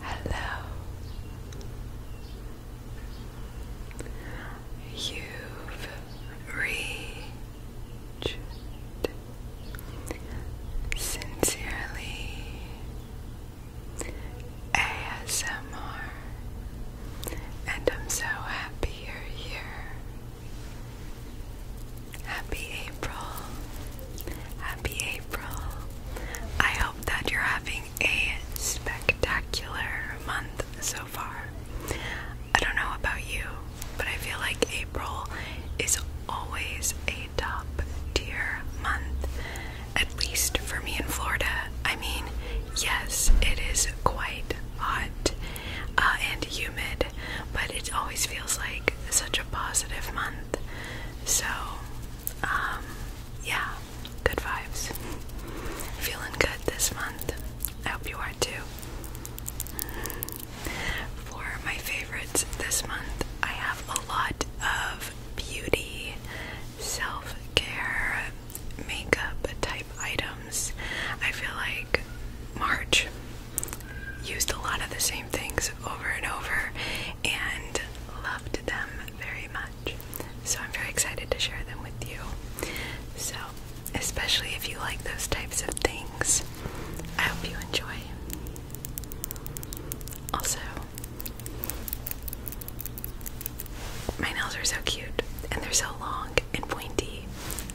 Hello. You've reached sincerely ASMR, and I'm so happy you're here. Happy April. Happy April. I hope that you're having a spectacular month so far. I don't know about you, but I feel like April is always a top tier month, at least for me in Florida. I mean, yes, it is quite hot uh, and humid, but it always feels like such a positive month. So, um, yeah, good vibes. Feeling good this month. I hope you are too. For my favorites this month, I have a lot of beauty, self care, makeup type items. I feel like March used a lot of the same things over and over and loved them very much. So I'm very excited to share them with you. So, especially if you like those types of things, I hope you enjoy. Also, my nails are so cute and they're so long and pointy.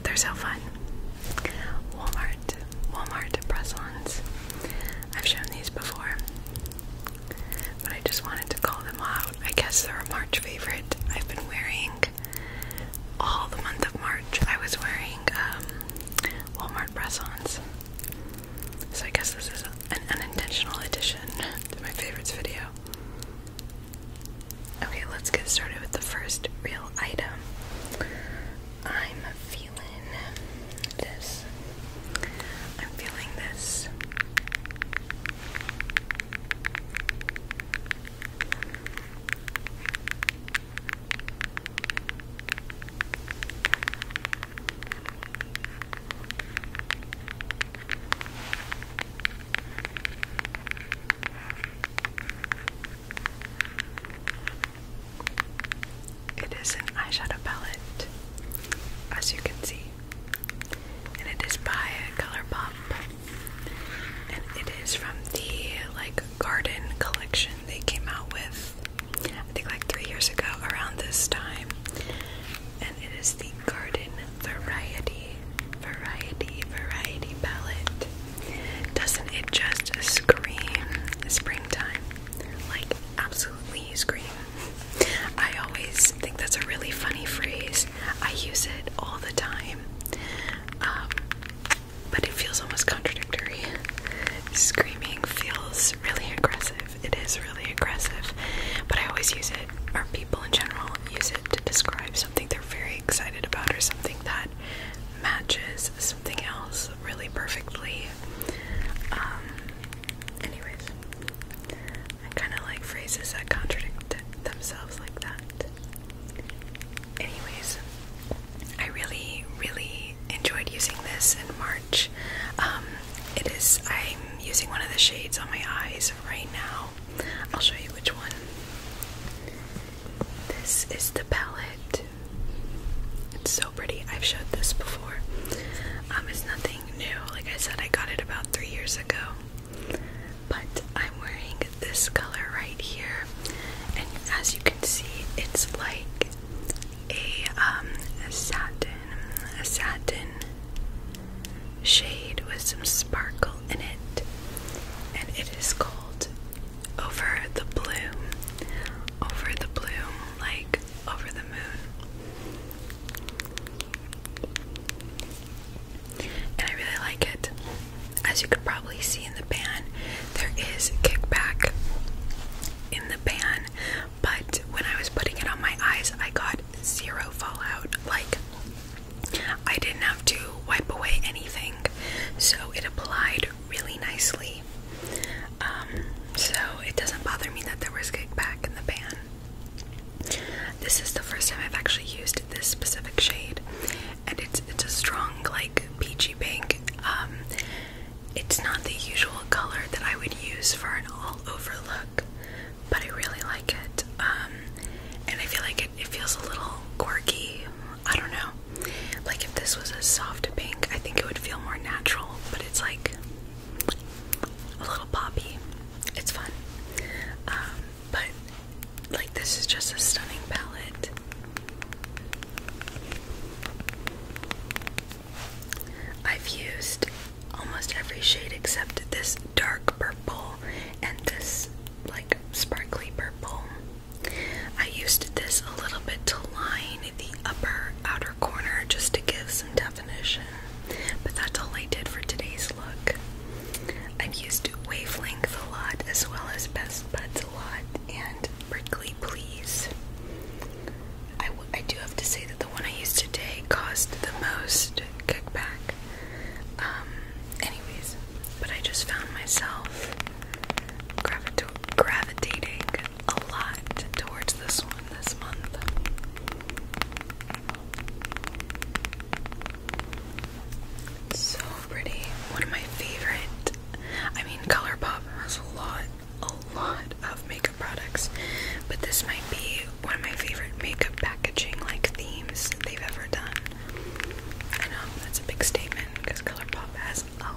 They're so fun. Walmart Walmart, Walmart I've shown these before, but I just wanted to call them out. I guess they're a March favorite. I've been wearing all the month of March. I was wearing um, Walmart press so I guess this is an unintentional addition to my favorites video. Okay, let's get started with the first real item. I'm feeling this. I'm feeling this. It is an eyeshadow palette, as you can see, and it is by ColourPop, and it is from the like Garden collection they came out with, I think like three years ago around this time, and it is the Garden Variety, Variety, Variety palette. Doesn't it just scream springtime? Like, absolutely scream. I always think that's a really funny phrase. I use it all the time. Um, but it feels almost contradictory. Screaming feels really aggressive. It is really aggressive. But I always use it, or people in general use it to describe something they're very excited about or something that matches something else really perfectly. Um, anyways, I kind of like phrases that contradict themselves like that. Anyways, I really, really enjoyed using this in March. Um, it is, I'm using one of the shades on my eyes right now. I'll show you which one. This is the palette. It's so pretty. I've showed this before. Um, it's nothing new. Like I said, I got it about three years ago. But I'm wearing this color right here, and as you can see, it's like a um a satin, a satin shade with some sparkle in it, and it is called over the blue, over the blue, like over the moon. And I really like it. As you could probably see in the pan, there is kickback in the pan, but when I was putting it on my eyes, I got zero fallout. Like, I didn't have to wipe away anything, so it applied really nicely. Um, so it doesn't bother me that there was kickback in the pan. This is the first time I've actually used this specific shade, and it's it's a strong like peachy pink. Um, it's not the usual color that I would use for an all-over look, but I really like it. Um, and I feel like it feels a little quirky, I don't know. Like if this was a soft pink, I think it would feel more natural, but it's like a little poppy. It's fun. Um, but like this is just a stunning palette. I've used almost every shade except this dark purple and this like sparkly purple. I used this a little bit to line the upper outer corner just to give some definition, but that's all I did for today's look. I've used wavelength a lot as well as best buds a lot and prickly please. I do have to say that the one I used today caused the most kickback. Um, anyways, but I just found myself gravitating a lot towards this one this month. so pretty. One of my favorite. I mean, ColourPop has a lot, a lot of makeup products, but this might be one of my favorite makeup packaging like themes they've ever done. I know that's a big statement because ColourPop has a lot.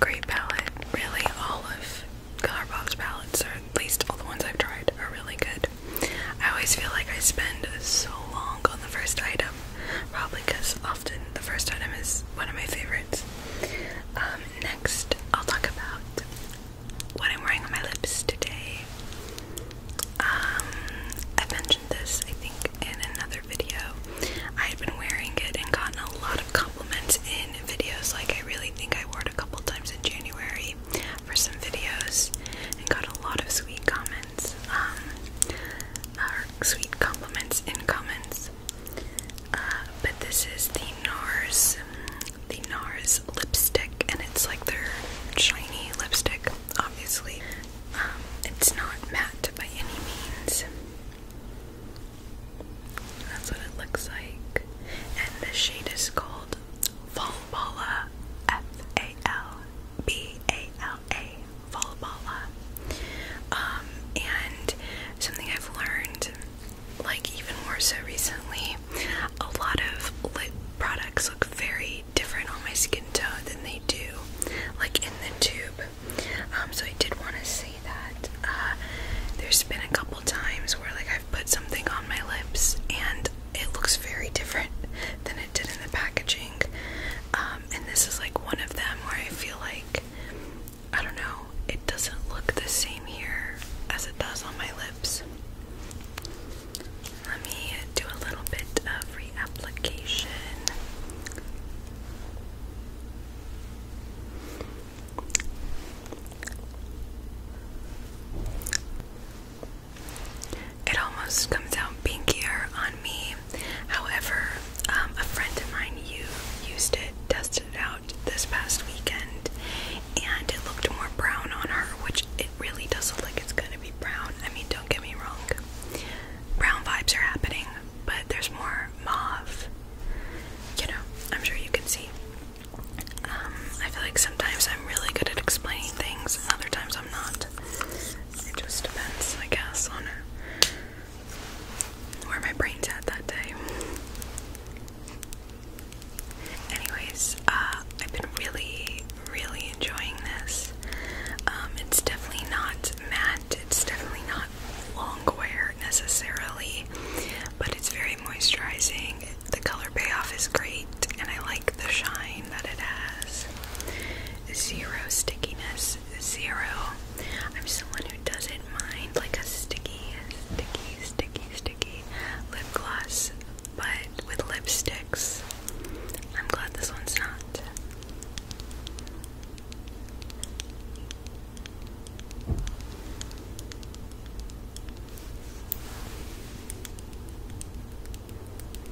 Great palette, really. All of Colourbox palettes, or at least all the ones I've tried, are really good. I always feel like I spend so long on the first item Probably because often the first item is one of my favorites. Um, next, I'll talk about what I'm wearing on my lips today. Um, I mentioned this, I think, in another video. I had been wearing it and gotten a lot of compliments in videos. Like, I really think I wore it a couple times in January for some videos and got a lot of sweet comments. Um, sweet compliments in comments. Uh, but this is the NARS, the NARS lipstick, and it's like their shiny lipstick, obviously. Um, it's not matte by any means. That's what it looks like. And the shade is called Falbala F A L B A a volleyballa. Um, and something I've learned, like even more so recently, a lot of lip products look very different on my skin tone than they do, like in the tube. Um, so I did want to say that uh, there's been a couple times where like I've put something on my lips and it looks very different than it did in the packaging. Um, um, and this is like one of them where I feel like I don't know, it doesn't look the same here as it does on my lips. Let me do a little bit of reapplication. It almost comes out pinkier on me. However, um, a friend of mine used it, tested it out this past weekend, and it looked more brown on her, which it really doesn't look like it's gonna be brown. I mean, don't get me wrong, brown vibes are happening, but there's more mauve. You know, I'm sure you can see. Um, I feel like sometimes I'm really good at explaining things, and other times I'm not. It just depends, I guess, on where my brain's at that day. Anyways, uh, I've been really, really enjoying this. Um, it's definitely not matte, it's definitely not long wear necessarily, but it's very moisturizing. The color payoff is great, and I like the shine that it has zero stickiness. Zero. I'm someone who doesn't mind like a sticky, sticky, sticky, sticky lip gloss, but with lipsticks, I'm glad this one's not.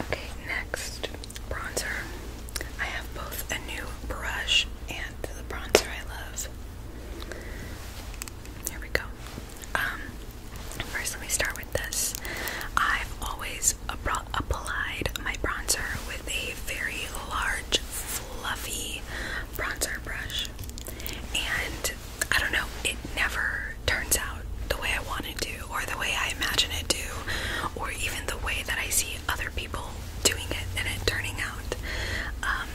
Okay, next bronzer. I have both a new brush and the bronzer I love. Here we go. Um, first, let me start with this. I've always applied my bronzer with a very large, fluffy bronzer brush, and I don't know, it never turns out the way I wanted to, or the way I imagine it to, or even the way that I see other people doing it and it turning out. Um,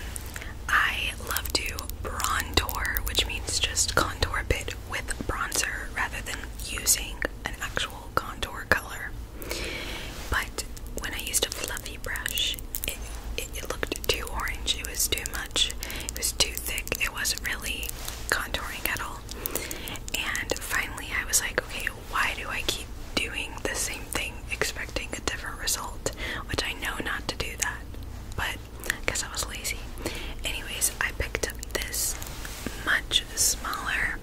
I love to brontour, which means just contour a bit with bronzer rather than using an actual contour color. But when I used a fluffy brush, it looked too orange, it was too much. It was too thick. It wasn't really contouring at all. And finally, I was like, okay, why do I keep doing the same thing, expecting a different result? Which I know not to do that, but because I was lazy. Anyways, I picked up this much smaller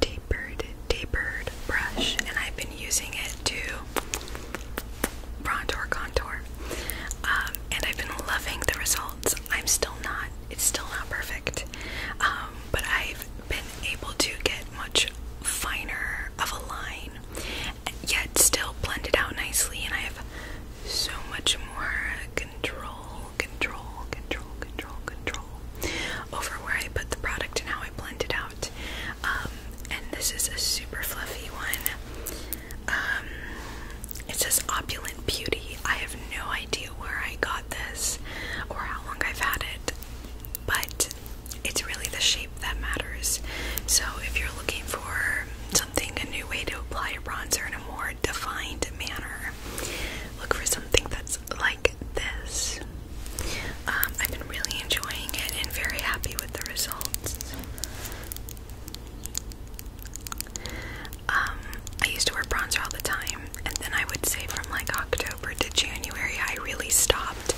tapered, tapered brush, and I've been using it to Brontour contour. Um, and I've been loving the results. I'm still not, it's still not perfect. Um, but I've been able to get much finer of a line, yet still blend it out nicely. And I have so much more control, control, control, control, control over where I put the product and how I blend it out. Um, and this is a super fluffy one. Um, it says Opulent Beauty. I have no idea where I got this or how long I've had it, but it's really the shape that matters. So if you're looking for something, a new way to apply a bronzer in a more defined manner, look for something that's like this. Um, I've been really enjoying it and very happy with the results. Um, I used to wear bronzer all the time, and then I would say from like October to January, I really stopped,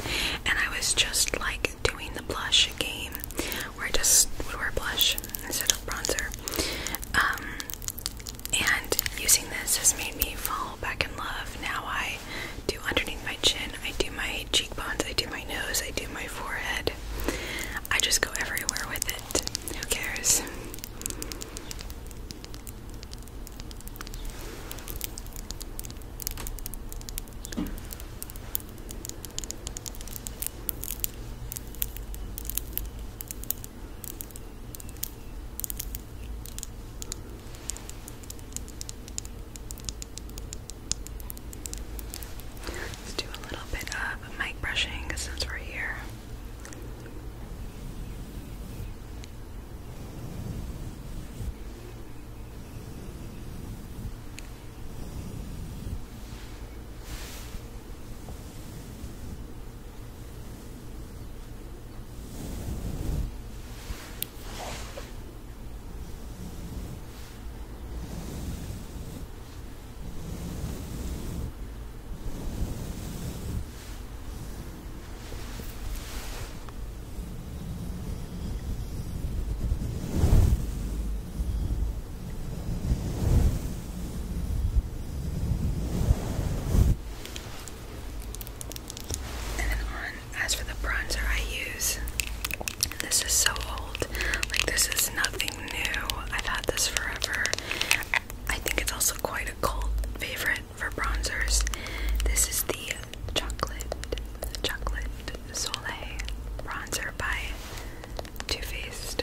and I was just like doing the blush game, where I just would wear blush instead of bronzer. Um, and using this has made me fall back in love. Now I do underneath my chin, I do my cheekbones, I do my nose, I do my forehead, I just go everywhere with it. Who cares? Let's do a little bit of mic brushing since we're here. Okay. And then on, as for the bronzer I use this is so old. Like, this is nothing new. I've had this forever. I think it's also quite a cult favorite for bronzers. This is the Chocolate Chocolate Sole Bronzer by Too Faced.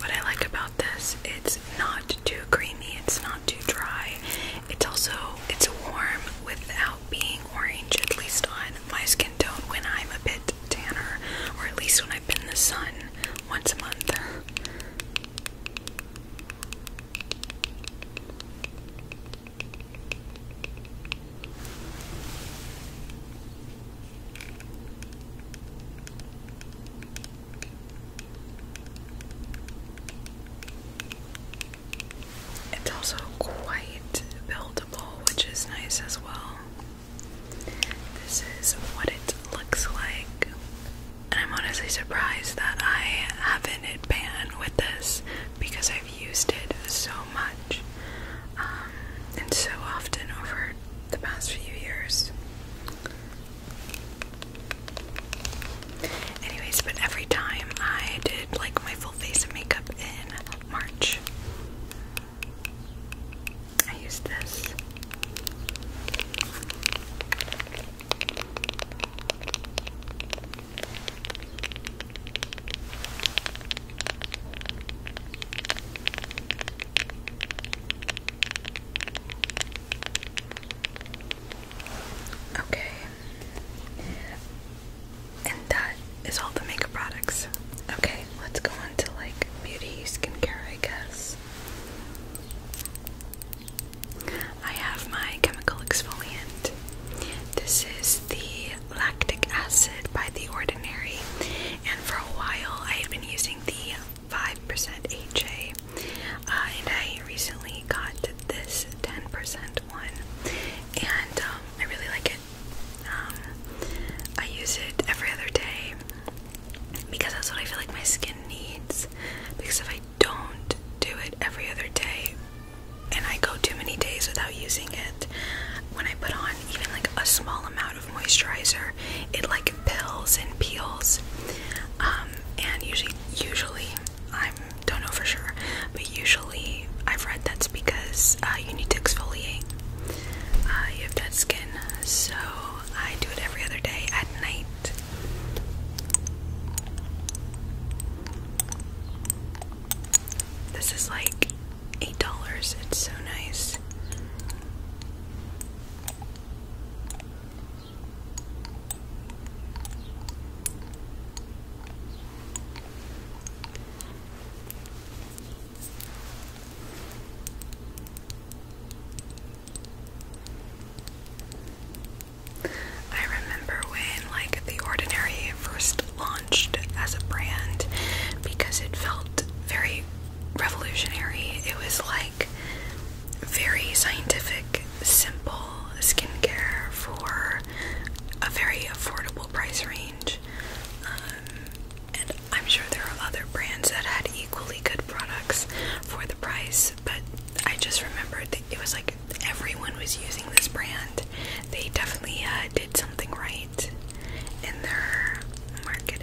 What I like about this, it's not too creamy, it's not too dry. It's also it's warm without being orange, at least on my skin tone when I'm a bit tanner, or at least when I've been in the sun once a month. It's also quite buildable, which is nice as well. This is what it looks like. And I'm honestly surprised that I haven't hit pan with this because I I've used it so much um, and so often over the past few years. Anyways, but every time I did like my full face of makeup in March, I used this. Okay. And that is all the makeup products. Okay, let's go on to like beauty skincare, I guess. I have my chemical exfoliant. This is the lactic acid by The Ordinary, and for a while I had been using the 5% HA, uh, and I recently got this 10% one, and um, I really like it. Um, I use it every other day because that's what I feel like my skin needs. Because if I don't do it every other day, and I go too many days without using it. When I put on even like a small amount of moisturizer, it like pills and peels. Um, and usually, usually, I don't know for sure, but usually I've read that's because uh, you need to exfoliate. Uh, you have dead skin, so I do it every other day at night. This is like eight dollars. It's so nice. I remember when like The Ordinary first launched as a brand because it felt very revolutionary. It was like very scientific, simple skincare for a very affordable price range. Um, and I'm sure there are other brands that had equally good products for the price, but I just remembered that it was like everyone was using this brand. They definitely uh, did something right in their marketing.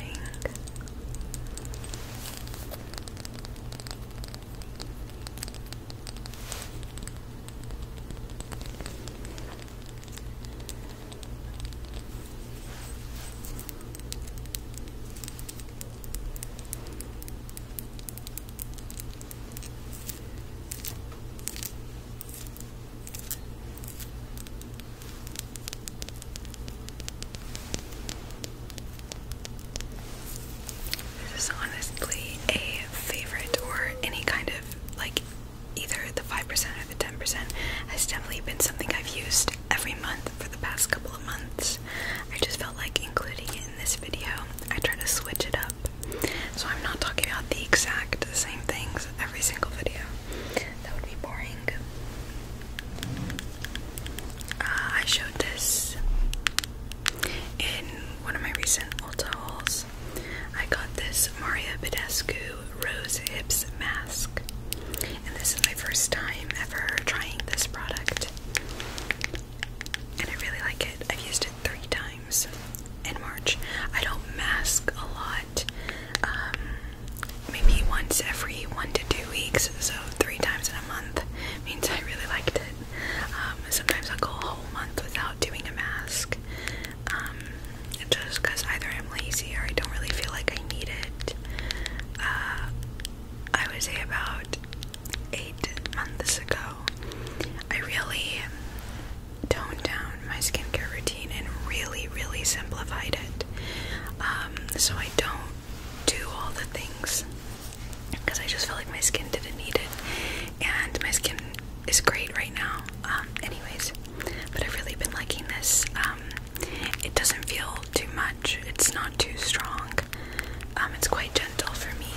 This is honestly a favorite, or any kind of like either the 5% or the 10% has definitely been something I've used every month for the past couple of months. I just felt like including it in this video. I try to switch it up. So I'm not talking about the exact same things every single video. That would be boring. Uh, I showed this in one of my recent Ulta hauls. I got this Maria Badescu Rose Hips Mask. And this is my first time ever trying this product and I really like it. I've used it three times in March. I don't mask a lot, um, maybe once every one to two weeks, so three times in a month means I really liked it. Um, sometimes i go a whole month without doing a mask, um, just because either I'm lazy or I don't really feel like I need it. Uh, I would say about eight months ago, I really toned down my skincare routine and really, really simplified it. Um, so I don't do all the things because I just felt like my skin didn't need it, and my skin is great right now. Um, anyways, but I've really been liking this. Um, it doesn't feel too much. It's not too strong. it's quite gentle for me.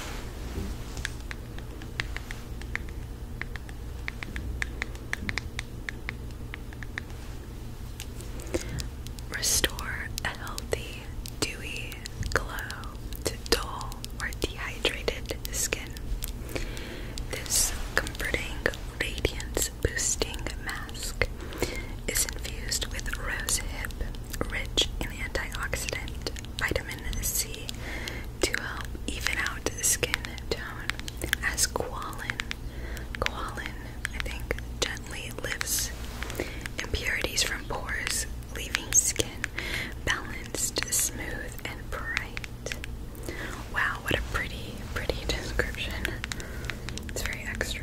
Restore a healthy, dewy glow to dull or dehydrated skin. This comforting, radiance boosting mask is infused with rosehip, rich in antioxidant, vitamin C, to help even out the skin tone as Qualin, Qualin, I think, gently lifts impurities from pores, leaving skin balanced, smooth, and bright. Wow, what a pretty, pretty description. It's very extra.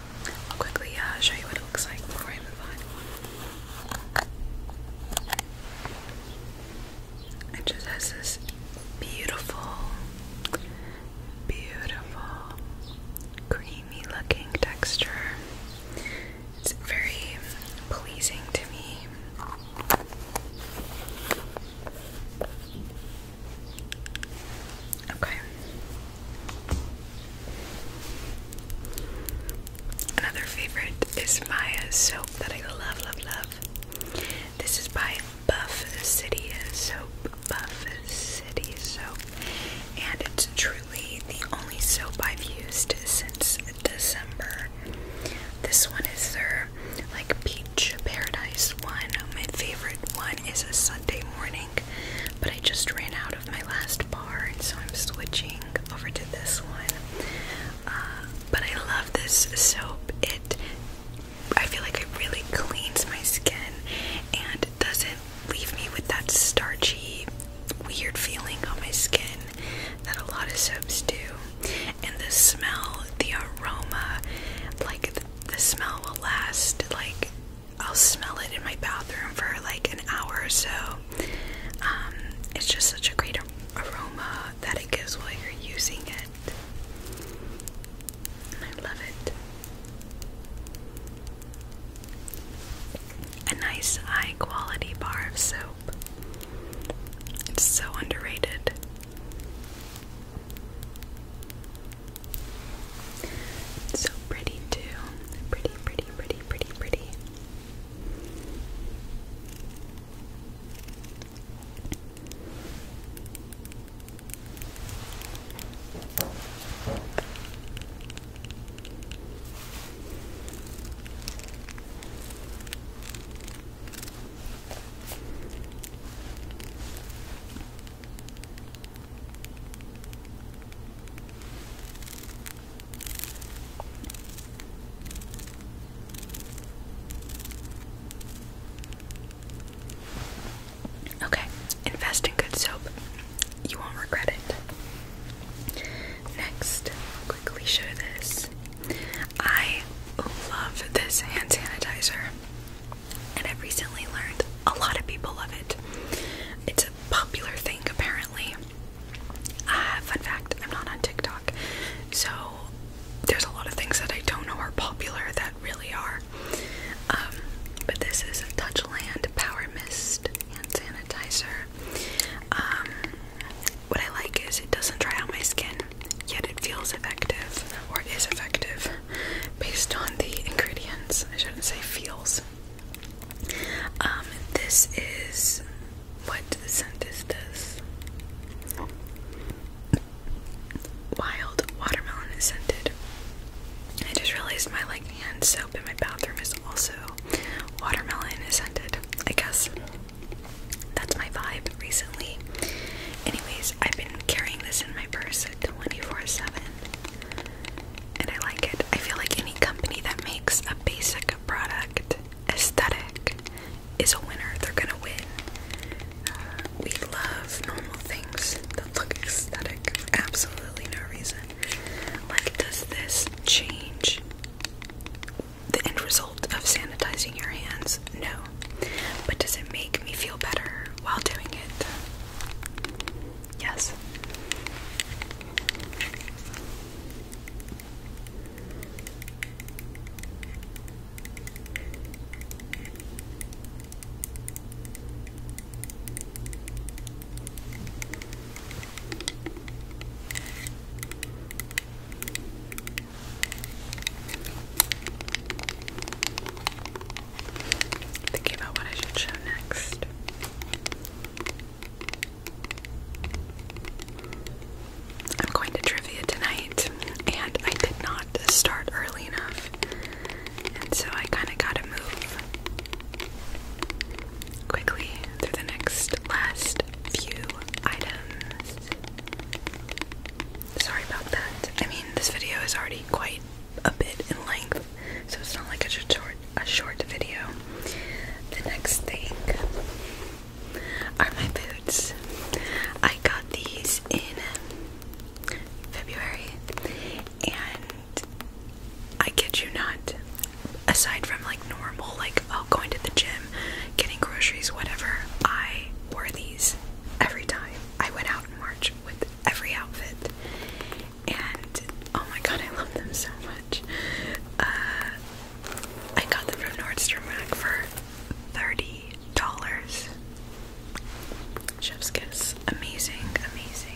I'll quickly uh, show you what it looks like before I move on. It just has this beautiful, beautiful, creamy looking texture. It's very pleasing to me. Okay. Another favorite is Maya soap that I love, love, love. This is by Buff City Soap. Buff City Soap. And it's truly the only soap I've used since December. This one is their like peach paradise one. My favorite one is a Sunday morning. But I just ran out of my last bar, so I'm switching over to this one. Uh, but I love this soap. It, I feel like it really cleans my skin and doesn't leave me with that starchy, weird feeling on my skin that a lot of soaps do. And the smell, the aroma, like the smell will last like I'll smell it in my bathroom for like an hour or so. Um, it's just such a great aroma that it gives while you're using it. I love it. A nice high quality bar of soap. It's so underrated. So pretty, too. Pretty, pretty, pretty, pretty, pretty, pretty. Okay, invest in good soap. You won't regret it. Next, quickly show this. I love this hand sanitizer, and I've recently learned a lot of people love it. It's a popular thing apparently. Uh, fun fact, I'm not on TikTok, so there's a lot of things that I don't know are popular that really are. Um, but this is Touchland Power Mist Hand Sanitizer. Um, what I like is it doesn't dry out my skin, yet it feels effective or is effective based on the ingredients. I shouldn't say feels. Um, this is what the scent is this? Wild watermelon is scented. I just realized my like hand soap in my bathroom is also watermelon scented. I guess that's my vibe recently. Anyways, I've been carrying this in my purse 24/7 and I like it. I feel like any company that makes a basic product aesthetic is a winner. They're gonna win. Uh, we love normal things that look aesthetic absolutely no reason. Like, does this change the end result of sanitizing your hands? No. But does it make me feel better while doing it? Yes. Thinking about what I should show next. I'm going to trivia tonight, and I did not start early enough, and so I kind of got to move quickly through the next last few items. Sorry about that. I mean, this video is already quite a bit in length, so it's not like a short a short video. The next thing are my boots. I got these in February and I kid you not, aside from like normal, like oh going to the gym, getting groceries, whatever, I wore these every time. I went out in March with every outfit and oh my god, I love them so much. Uh, I got them from Nordstrom Rack for thirty dollars. Chef's kiss, amazing, amazing.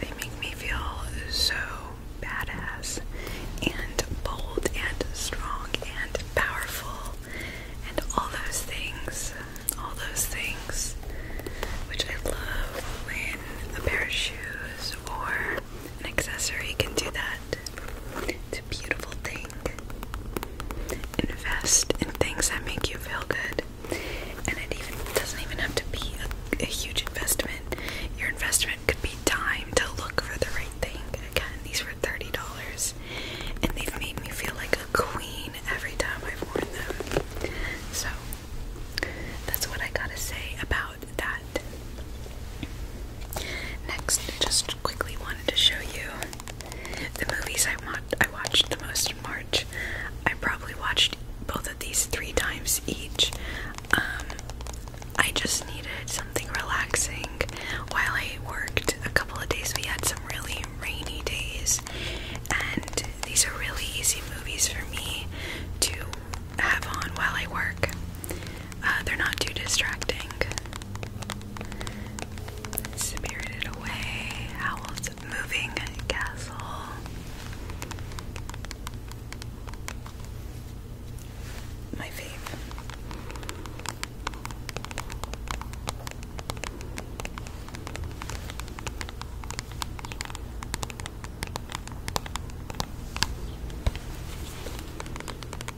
They make me feel so badass and bold and strong and powerful and all those things. All those things. Which I love when a pair of shoes or an accessory can do that. It's a beautiful thing. Invest in things that make you feel good. And it even doesn't even have to be a, a huge investment. Your investment could be time to look for the right thing. Again, these were $30 and they've made me feel like a queen every time I've worn them. So that's what I gotta say about that. Next, just quickly wanted to show you the movies I watched the most in March. I probably watched both of these three times each. Um, I just needed something relaxing while I worked a couple of days. We had some really rainy days, and these are really easy movies for me to have on while I work. Uh, they're not too distracting. Spirited Away, Howl's Moving Castle. My fave.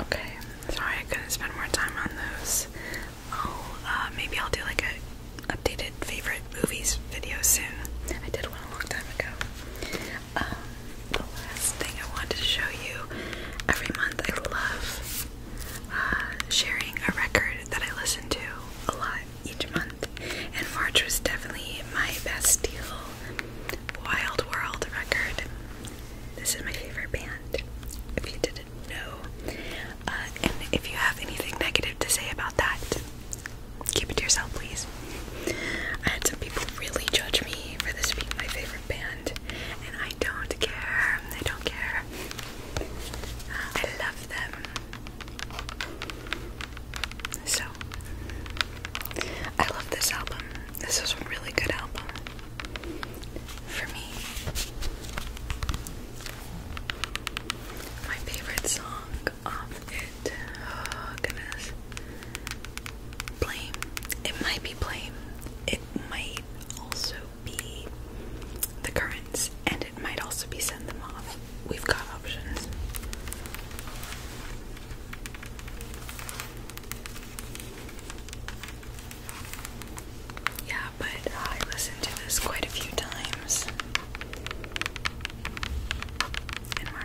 Okay, sorry I couldn't spend more time on those. Oh, uh, maybe I'll do like a updated favorite movies video soon. I did one a long time ago. Um, the last thing I wanted to show you every month, I love uh, sharing a record that I listen to a lot each month and March was definitely my best deal. Wild World record. This is my favorite band. If you didn't know, uh, and if you have anything negative to say about that, keep it to yourself, please. I had some people really judge me for this being my favorite band, and I don't care. I don't care. Uh, I love them. So, I love this album. This is a really good album for me. My favorite song off it, oh goodness, Blame. It might be Blame. It might also be The Currents, and it might also be Send Them Off. We've got options. Yeah, but I listened to this quite a few times in March.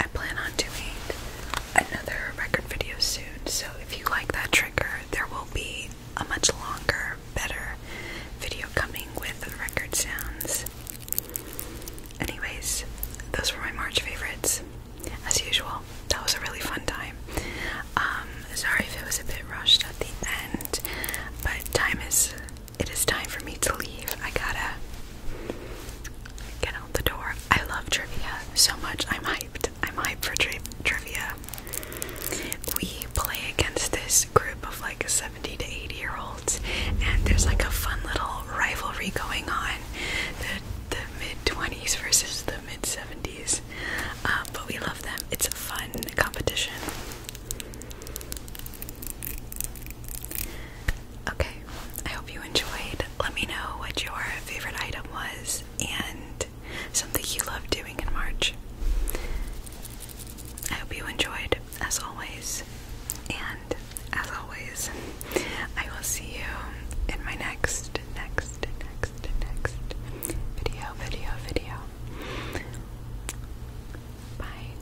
I plan on doing another record video soon, so if you like that trigger, there will be a much longer, better video coming with record sounds. Anyways, those were my March favorites. As usual, that was a really fun time. Um, sorry if it was a bit rushed at the end, but time is it is time for me to leave. I gotta Get out the door. I love trivia so much. I'm hyped. I'm hyped for trivia. We play against this group of like 70 to 80 year olds, and there's like a fun little rivalry going on. The, the mid 20s versus the mid 70s. Um, but we love them. It's a fun competition. Okay, I hope you enjoyed. Let me know what your favorite item was and something you loved doing in March. I hope you enjoyed, as always. And as always, I will see you in my next, next, next, next video, video, video. Bye.